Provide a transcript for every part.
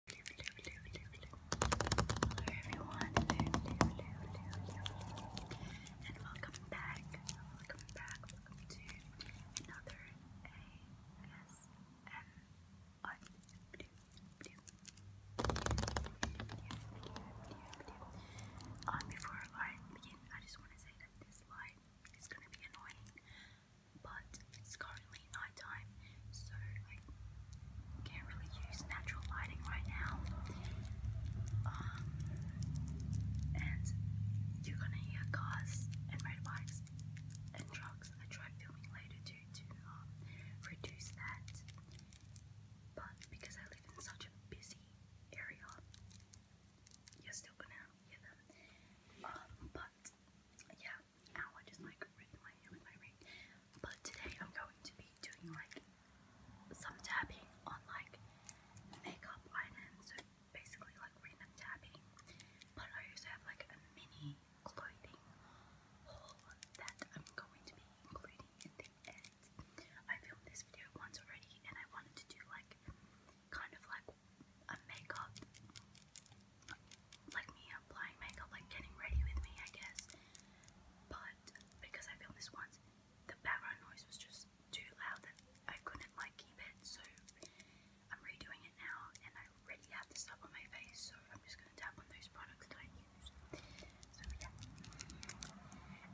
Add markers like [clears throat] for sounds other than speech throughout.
Hello everyone, and welcome back, welcome back, to another ASMR before I begin, I just want to say that this light is going to be annoying but it's currently night time, so I can't really use natural lighting right now. Um, and you're gonna hear cars and motorbikes and trucks. I tried filming later to to um, reduce that, but because I live in such a busy area, you're still gonna hear them. Um, but yeah, Ow, I just like ripped my hair with my ring. But today I'm going to be doing like some tabbing on like makeup items. So basically like random tapping. But I also have like a mini clothing haul that I'm going to be including in the end. I filmed this video once already and I wanted to do like kind of like a makeup, like me applying makeup, like getting ready with me, I guess. But because I filmed this once, the background noise was just too loud that I couldn't like keep it. So I'm redoing it now, and I already have this stuff on my face. So I'm just gonna tap on those products that I use. So yeah.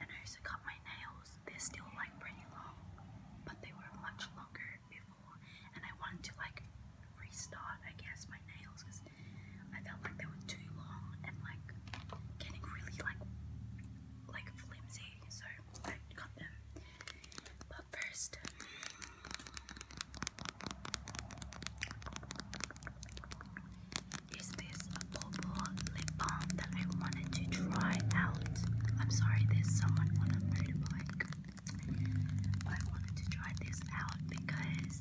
And I also cut my nails. They're still like pretty long, but they were much longer before, and I wanted to like restart, I guess, my nails because I felt like they were too long and like getting really like like flimsy. So I got them. But first. Is this a purple lip balm that I wanted to try out? I'm sorry, there's someone on a motorbike. I wanted to try this out because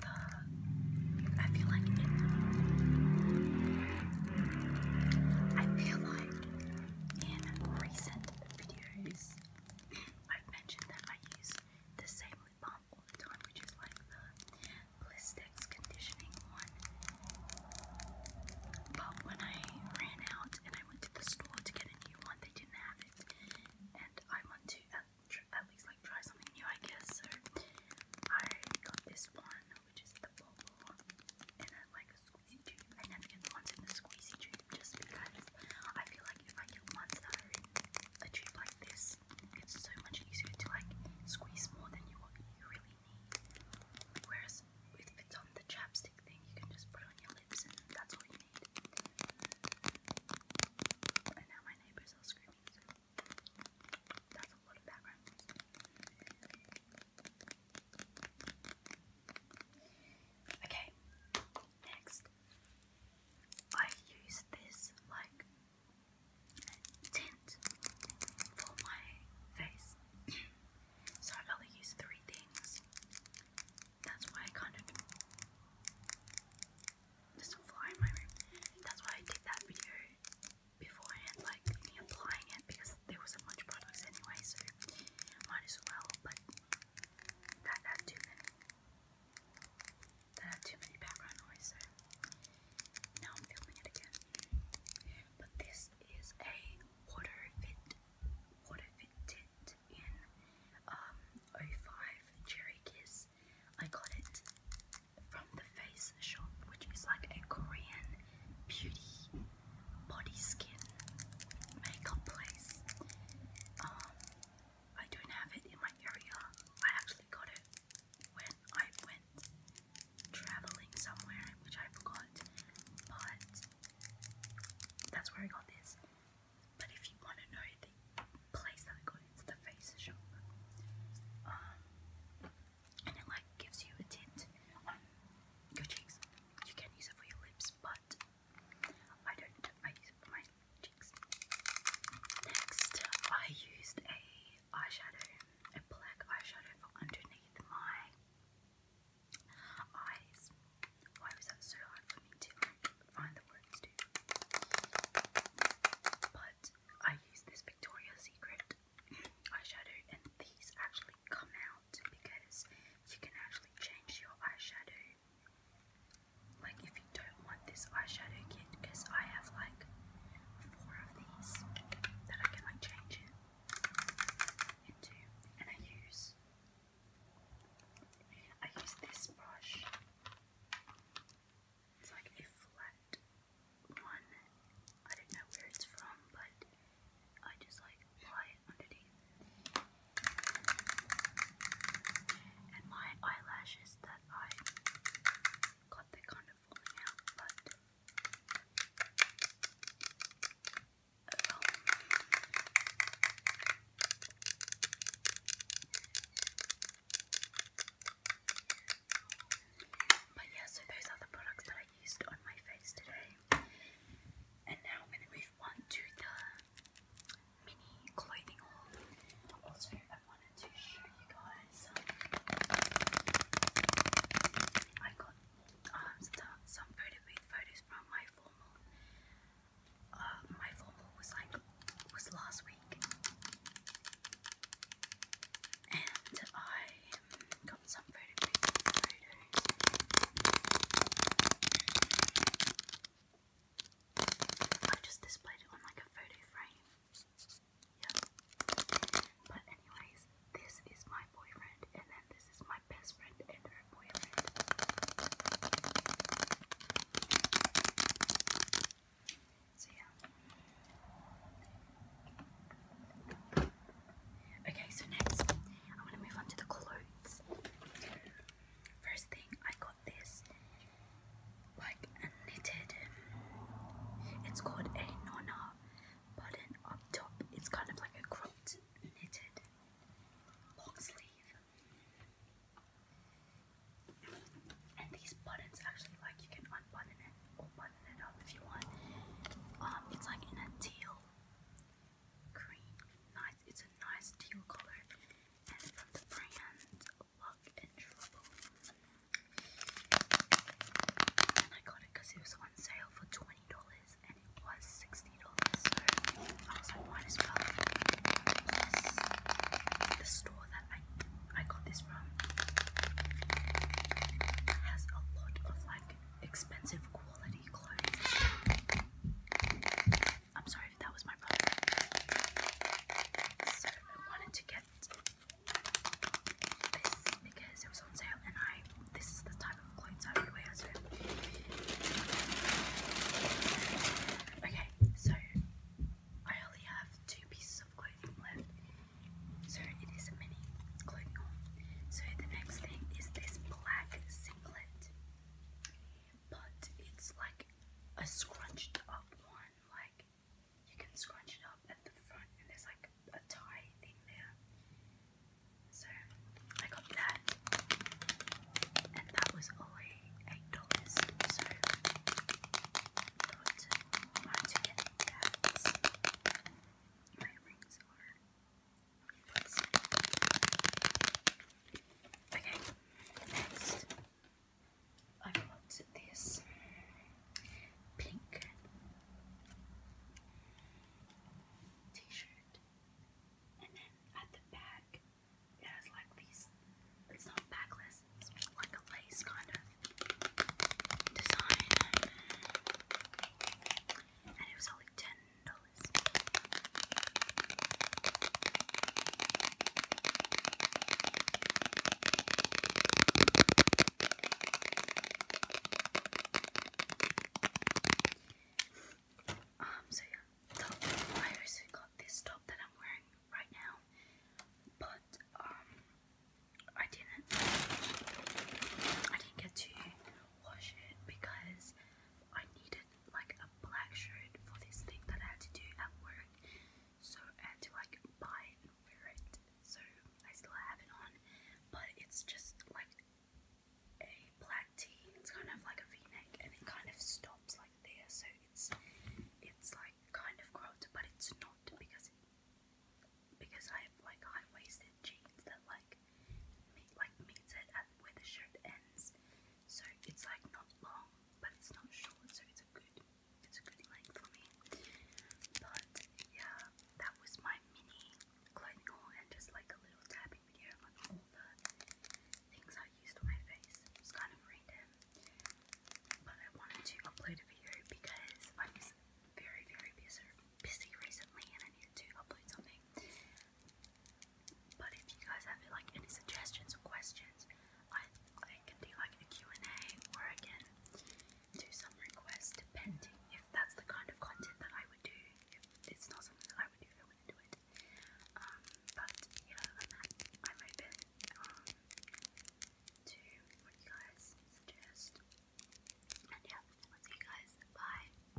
the, I feel like it, I feel like in recent videos I've mentioned that I use the same lip balm all the time, which is like the Blistex conditioning one. But when I ran out and I I went to the store to get a new one, they didn't have it, and I want to at, least like try something new, I guess. So I got this one, which is the bubble, and then like a squeezy tube. I never get the in the squeezy tube just because I feel like if I get ones in a tube like this, it's so much easier to like squeeze more than you, you really Whereas if it's on the chapstick thing, you can just put on your lips and that's all you need. And now my neighbors are screaming, that's a lot of background noise. Okay, next. I use this like tint for my face. [clears throat] So I only use three things. That's why I kind of there's a fly in my room. That's why I did that video beforehand, like me applying it because there wasn't much products anyway, so might as well. But that had too many. That had too many background noise. So now I'm filming it again. But this is a water fit, water fit tint in um 05 Cherry Kiss. I got it from the Face Shop, which is like a Korean beauty body skin makeup place. Um, I don't have it in my area. I actually got it when I went traveling somewhere, which I forgot, but that's where I got this. But if you want to know the place that I got it, it's the face shop. Um, and it like gives you a tint on cheeks. You can use it for your lips, but I don't. I use it for my cheeks. Next, I used a eyeshadow, a black eyeshadow underneath my eyes. Why was that so hard for me to find the words to? But I use this Victoria's Secret [clears throat] eyeshadow, and these actually come out because you can actually change your eyeshadow. Like if you don't want this eyeshadow kit, because I have like four of these that I can like change it into, and I use I use this brush. It's like a flat one. I don't know where it's from, but I just like apply it underneath. And my eyelashes that I got the kind bit falling but yeah, so those are the products that I used on my face today. And now I'm going to move on to the mini clothing haul wanted to show you guys. I got um, some pretty photos from my formal. Uh, my formal was like was last week, and I um, got some pretty photos. I just displayed it on like a photo frame. But anyways, this is my boyfriend, and then this is my best friend and her boyfriend. So yeah. Okay, so next I'm gonna move on to the clothes. First thing I got this like a knitted. It's called a nona button up top. It's kind of like a cropped knitted long sleeve. And these buttons actually like you can unbutton it or button it up if you want. Um, it's like in a teal green. Nice. It's a nice teal color. And from the brand, and I got it because it was on sale for $20 and it was $60. I was like, might the store that I, I got this from has a lot of like expensive quality clothes. I'm sorry that was my brother. So I wanted to get this because it was on sale and I this is the type of clothes I wear Okay, so I only have two pieces of clothing left. So it is a mini clothing So the next thing is this black singlet. But it's like a scrunched up one, like you can scrunch it up at the front, and there's like a tie thing there. So I got that, and that was only eight dollars. So thought I wanted to that. My rings are. next I got this pink t-shirt and then at the back it has like these it's not backless, it's like a lace kind of design. And it was only $10. Um, so yeah, I also got this top that I'm wearing right now, but um, I didn't, I didn't get to wash it because I needed like a black shirt for this thing that I had to do at work. So I had to like buy it and wear it. So I still have it on, but it's just like a black tee. It's kind of like a V-neck, and it kind of stops like there. So it's it's like kind of cropped, but it's not because it, because I have like high-waisted jeans that like meet like meets it at where the shirt ends. So it's like not long, but it's not short, so it's a good it's a good length for me. But yeah, that was my mini clothing haul and just like a little tapping video on all the things I used on my face. It kind of random. But I wanted to upload a video because I was very, very busy busy recently and I needed to upload something. But if you guys have like any suggestions or questions, I can do like a and a or I can do some requests depending if that's the kind of content that I would do. If it's not something that I would do, I wouldn't do it. Um, but yeah, I'm, open um, to what you guys suggest. And yeah, I'll see you guys. Bye.